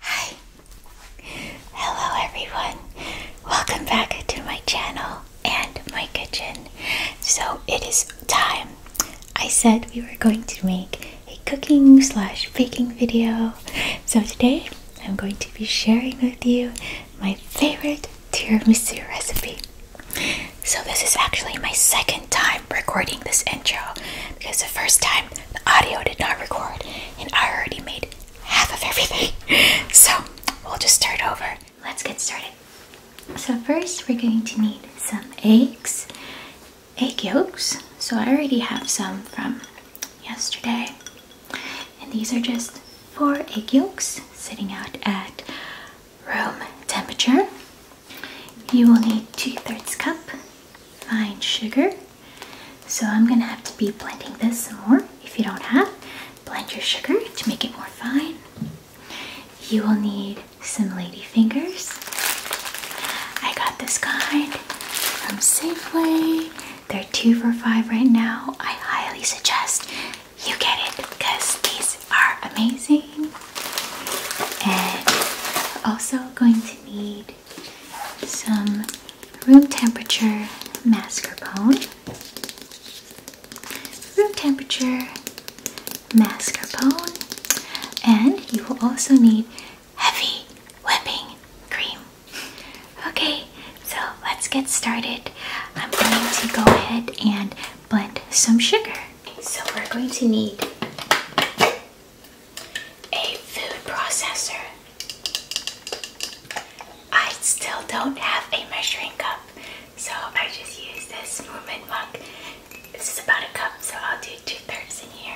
Hi! Hello everyone! Welcome back to my channel and my kitchen. So it is time. I said we were going to make a cooking slash baking video. So today I'm going to be sharing with you my favorite tiramisu recipe. So this is actually my second time recording this intro because the first time the audio did not record, and I already made half of everything. so we'll just start over. Let's get started. So first we're going to need some eggs, egg yolks. So I already have some from yesterday. And these are just four egg yolks sitting out at room temperature. You will need two-thirds cup fine sugar, so I'm gonna have to be blending this some more. If you don't have, blend your sugar to make it more fine. You will need some lady fingers. I got this kind from Safeway. They're two for five right now. I highly suggest you get it because these are amazing. And also going to need some room temperature mascarpone. Room temperature mascarpone. And you will also need heavy whipping cream. Okay, so let's get started. I'm going to go ahead and blend some sugar. So we're going to need a food processor. I still don't have a measuring cup, so I just use this movement mug. This is about a cup, so I'll do two thirds in here.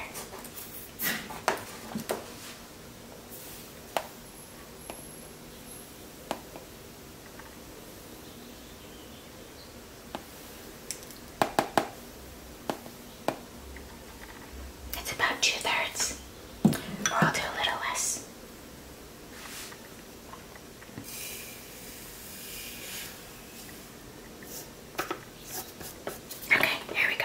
It's about two thirds, or I'll do a little less. Okay, here we go.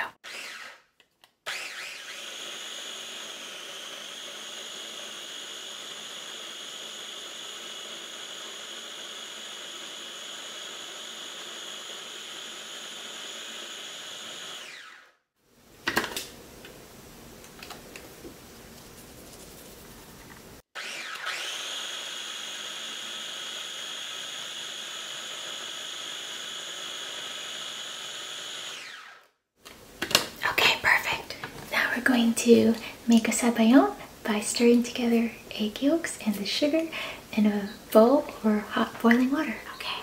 Okay, perfect. Now we're going to make a sabayon by stirring together egg yolks and the sugar in a bowl or hot boiling water. Okay.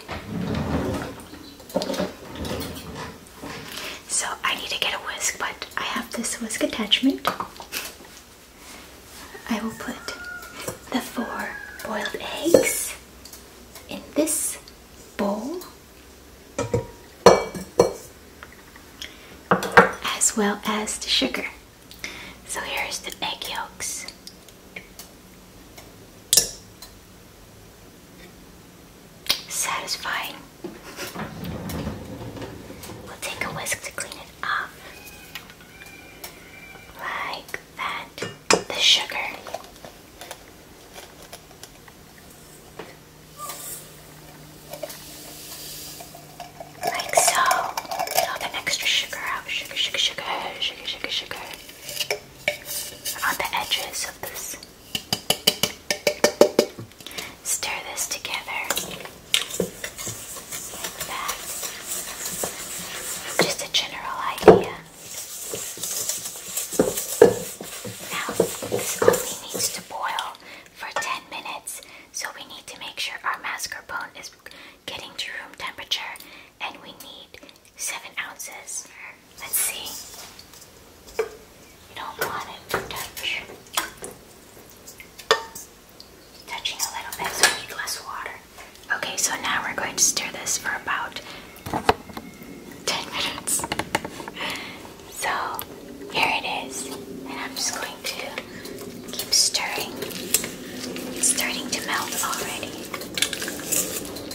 So I need to get a whisk, but I have this whisk attachment. I will put the four boiled eggs in this bowl as well as the sugar. So here's the egg yolks. Satisfying. We'll take a whisk to clean it off. Like that. The sugar. Like so. all that extra sugar out. Sugar, sugar, sugar, sugar, sugar, sugar on the edges of this. Stir this together Just a general idea. Now, this only needs to boil for 10 minutes, so we need to make sure our mascarpone is getting to room temperature, and we need seven ounces. Let's see. You don't want it to touch. Touching a little bit so we need less water. Okay, so now we're going to stir this for about 10 minutes. So here it is. And I'm just going to keep stirring. It's starting to melt already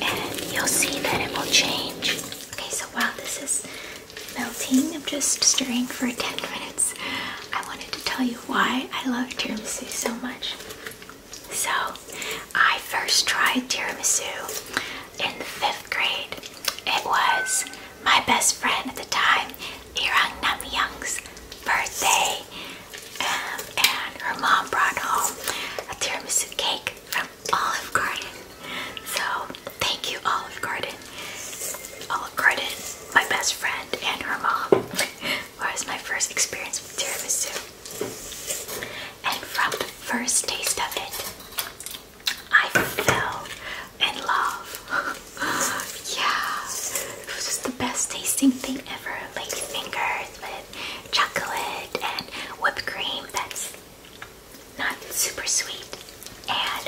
and you'll see that it will change. Okay, so while this is melting, I'm just stirring for 10 minutes. I wanted to tell you why I love tiramisu so much. So, I first tried tiramisu in the fifth grade. It was my best friend at the time, Irang birthday um, and her mom brought home a tiramisu cake from Olive Garden. So thank you, Olive Garden. Olive Garden, my best friend, and her mom. was my first experience with tiramisu. And from the first taste of it, I fell in love. yeah, it was just the best tasting thing ever lady fingers with chocolate and whipped cream that's not super sweet. And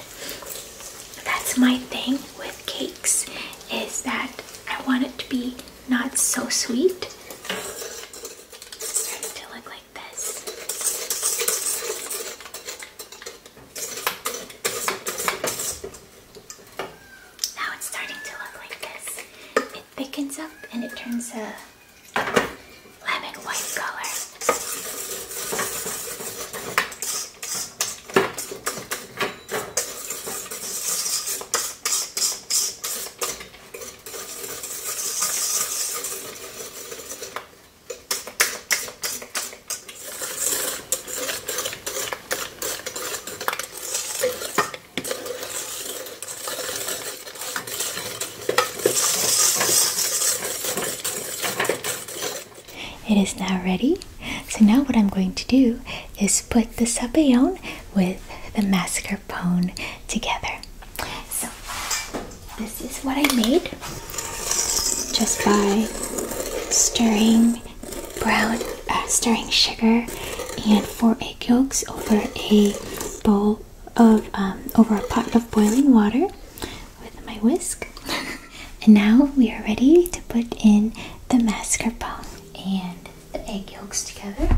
that's my thing with cakes is that I want it to be not so sweet. It's to look like this. Now it's starting to look like this. It thickens up and it turns a lemon white color. It is now ready. So now what I'm going to do is put the sabayon with the mascarpone together. So this is what I made just by stirring brown uh, stirring sugar and four egg yolks over a bowl of um, over a pot of boiling water with my whisk. and now we are ready to put in the mascarpone and the egg yolks together.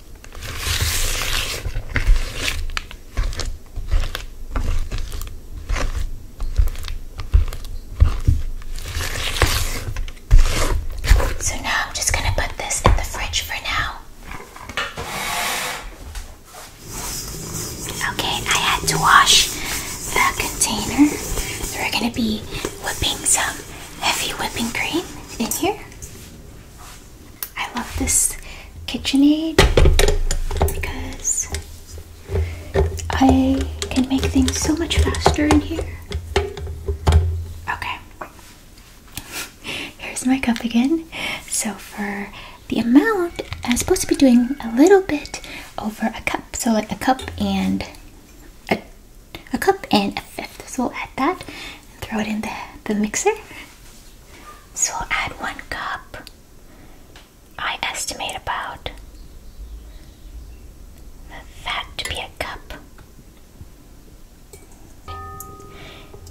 So now I'm just going to put this in the fridge for now. Okay, I had to wash the container. we're going to be whipping some heavy whipping cream in here. I love this KitchenAid because I can make things so much faster in here. Okay. Here's my cup again. So for the amount, I'm supposed to be doing a little bit over a cup. So like a cup and a a cup and a fifth. So add that and throw it in the, the mixer. So add one cup. I estimate about that to be a cup.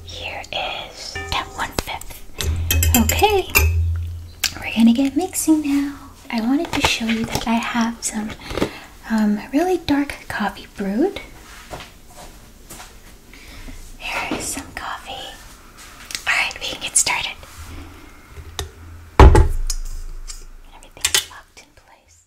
Here is that one fifth. Okay, we're gonna get mixing now. I wanted to show you that I have some um, really dark coffee brewed. Here is some coffee. Alright, we can get started. Everything's locked in place.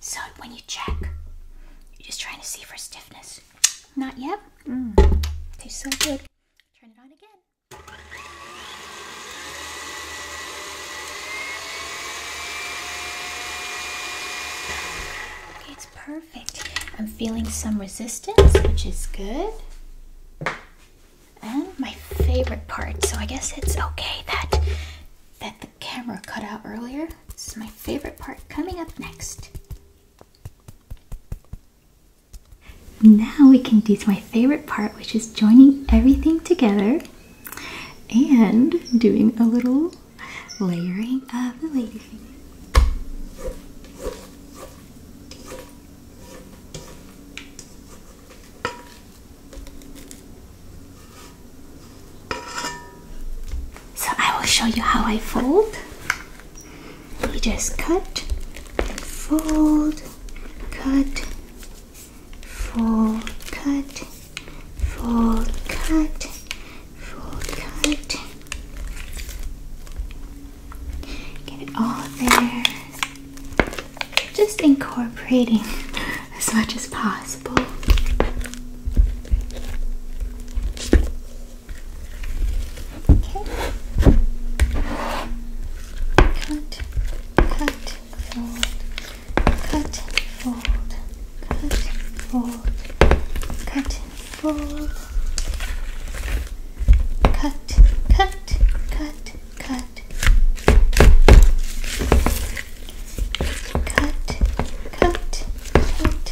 So when you check, you're just trying to see for stiffness. Not yet. Mm. so good. Turn it on again. it's perfect. I'm feeling some resistance, which is good. And my favorite part, so I guess it's okay that camera cut out earlier. This is my favorite part coming up next. Now we can do my favorite part, which is joining everything together and doing a little layering of the lady finger. So I will show you how I fold. You just cut fold, cut, fold, cut, fold, cut, fold, cut. Get it all there. Just incorporating as much as possible. Okay. Cut, cut, fold, cut, fold, cut, fold, cut, fold, cut, cut, cut, cut cut, cut, cut,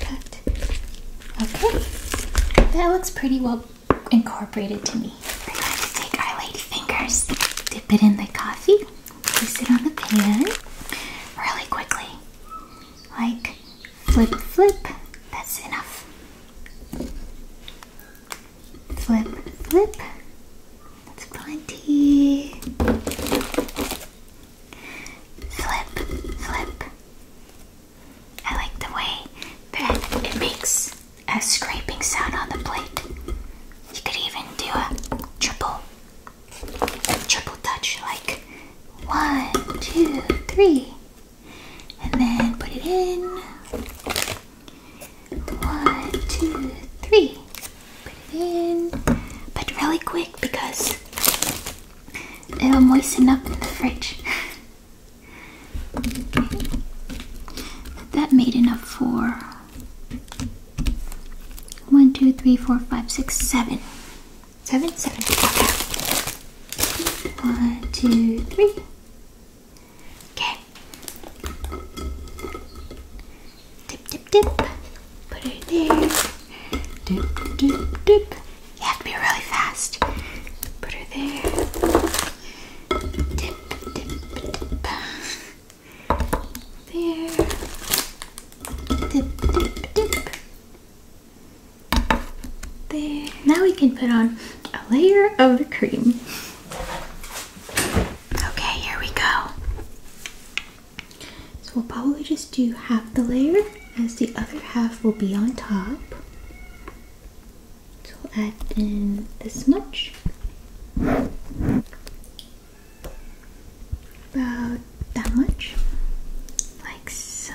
cut. Okay, that looks pretty well incorporated to me. We're going to take our lady fingers, dip it in the coffee, place it on the pan really quickly. Like flip, flip. That's enough. Flip, flip. That's plenty. Flip, flip. I like the way that it makes a scraping sound on the plate. You could even do a triple, a triple touch like one, two, three and then put it in. One, two, three. Put it in, but really quick because it'll moisten up in the fridge. that made enough for one, two, three, One, two, three. Okay. Dip, dip, dip. Put it there. Dip, dip, dip. You have to be really fast. Put her there. Dip, dip, dip. There. Dip, dip, dip. There. Now we can put on a layer of the cream. Okay, here we go. So we'll probably just do half the layer as the other half will be on top. So add in this much. About that much. Like so.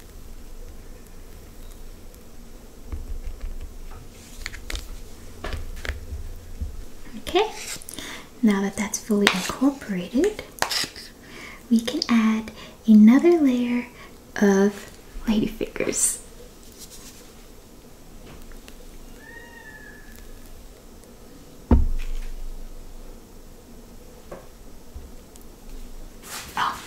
Okay, now that that's fully incorporated, we can add another layer of ladyfingers. Oh,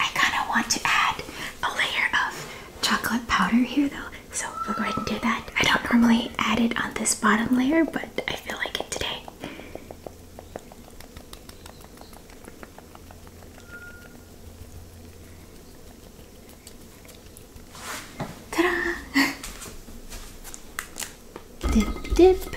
I kind of want to add a layer of chocolate powder here though, so we'll go ahead and do that. I don't normally add it on this bottom layer, but I feel like it today. Ta-da! dip, dip.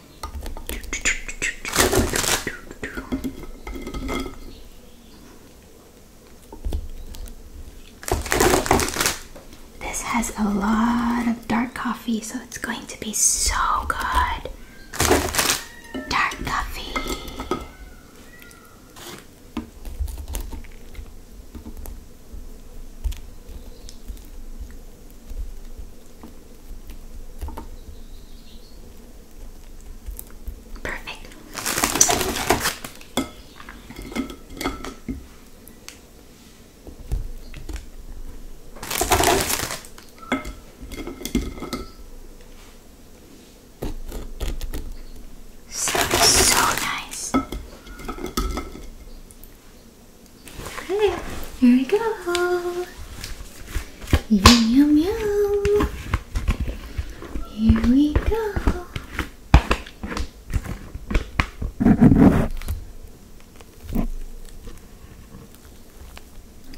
This has a lot of dark coffee, so it's going to be so good. Dark coffee. Perfect. so nice. Okay, here we go meow. Meow, meow. Here we go.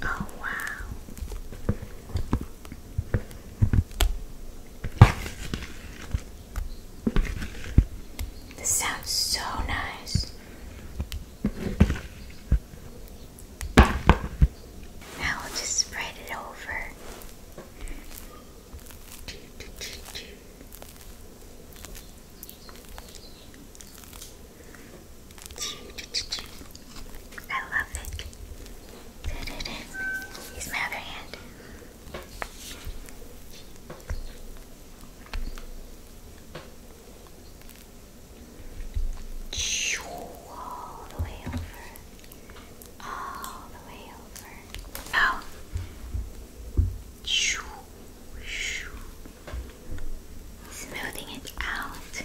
Oh, wow. This sounds so nice. Now we'll just spread it over. I love it. Use my other hand. All the way over. All the way over. Now. Smoothing it out.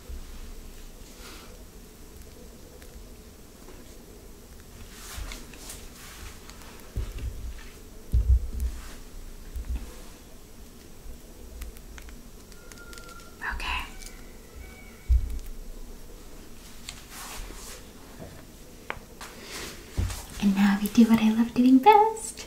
Okay. And now we do what I love doing best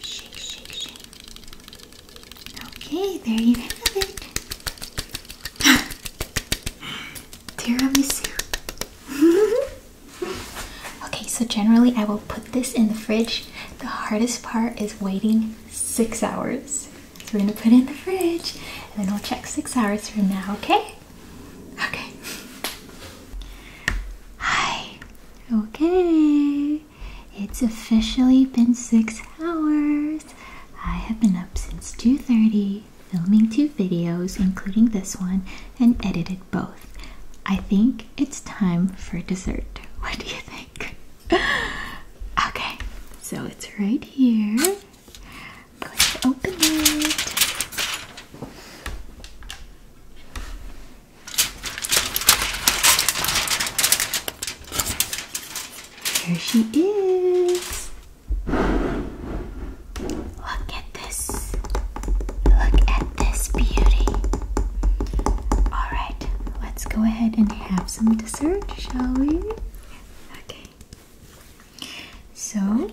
Shake, shake, shake. Okay, there you have it. Tiramisu. okay, so generally I will put this in the fridge. The hardest part is waiting six hours. So we're gonna put it in the fridge and then we'll check six hours from now, okay? Okay. Hi. Okay. It's officially been six hours. I have been up since 2.30, filming two videos, including this one, and edited both. I think it's time for dessert. What do you think? okay, so it's right here open it. Here she is. Look at this. Look at this beauty. Alright, let's go ahead and have some dessert, shall we? Okay. So,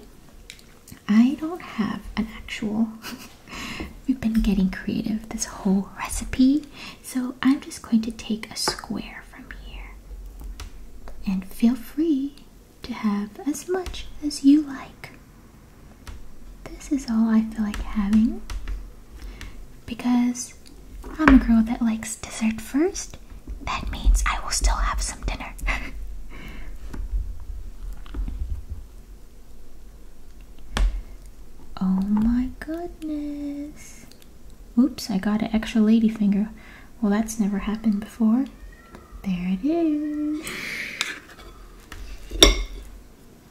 I don't have an actual. We've been getting creative this whole recipe, so I'm just going to take a square from here. And feel free to have as much as you like. This is all I feel like having because I'm a girl that likes dessert first, that means I will still have some dinner. oh my goodness. Oops, I got an extra ladyfinger. Well, that's never happened before. There it is.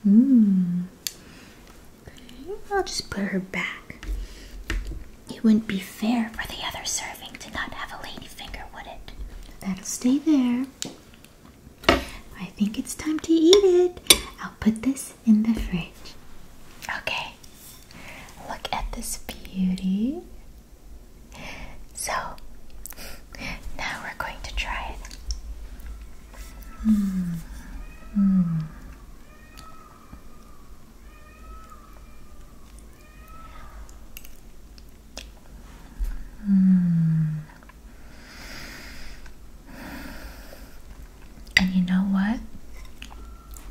Mmm. I'll just put her back. It wouldn't be fair for the other serving to not have a lady finger, would it? That'll stay there. I think it's time to eat it. I'll put this in the fridge. Okay. Look at this beauty. So, now we're going to try it. Mm. Mm. Mm. And you know what?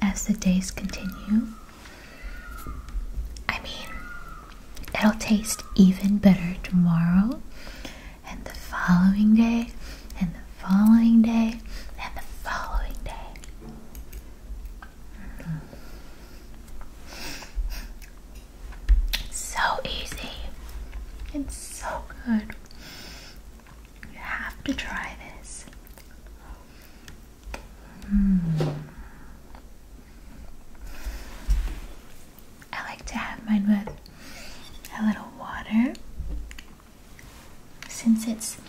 As the days continue, I mean, it'll taste even better tomorrow, and the following day, and the following day, and the following day. Hmm. So easy. It's so good. You have to try this. Mm. I like to have mine with a little water since it's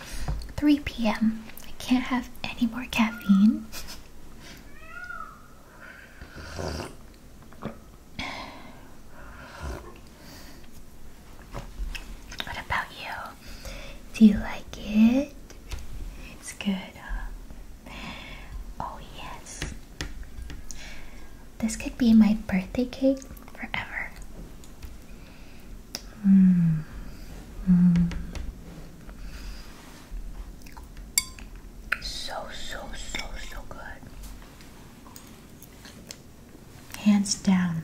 3 p.m. I can't have any more caffeine. What about you? Do you like it? It's good, Oh, yes. This could be my birthday cake forever. So, so, so, so good. Hands down.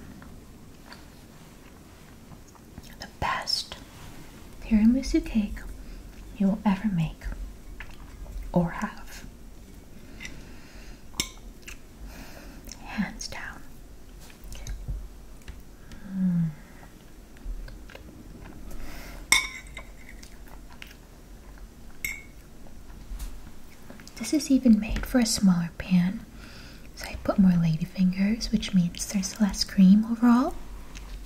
The best tiramisu cake you will ever make or have. Hands down. This is even made for a smaller pan, so I put more ladyfingers, which means there's less cream overall.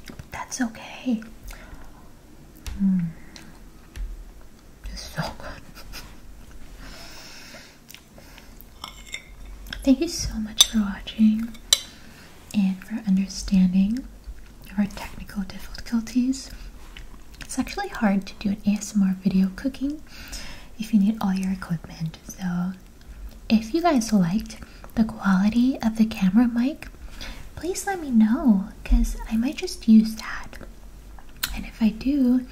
But that's okay. Mm. It's so good. Thank you so much for watching and for understanding our technical difficulties. It's actually hard to do an ASMR video cooking if you need all your equipment. So, if you guys liked the quality of the camera mic, please let me know because I might just use that. And if I do,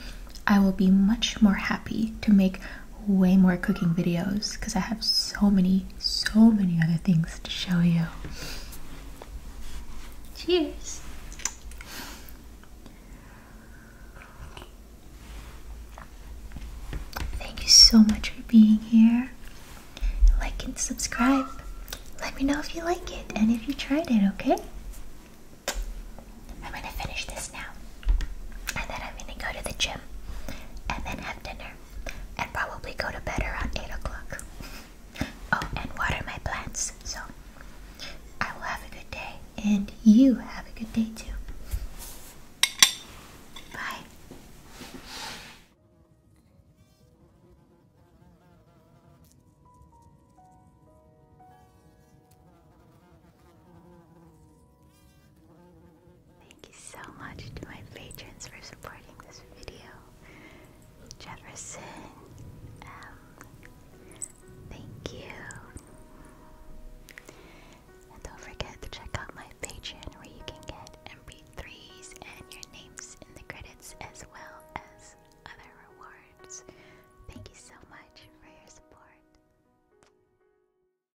I will be much more happy to make way more cooking videos because I have so many, so many other things to show you. Cheers! Thank you so much for being here. Like and subscribe. Let me know if you like it and if you tried it, okay? I'm gonna finish this now. And then I'm gonna go to the gym and then have dinner and probably go to bed around 8 o'clock. oh, and water my plants. So I will have a good day and you have a good day too. Bye. Thank you so much to my patrons for supporting this video. Jefferson, um, thank you. And don't forget to check out my Patreon where you can get MP3s and your names in the credits as well as other rewards. Thank you so much for your support.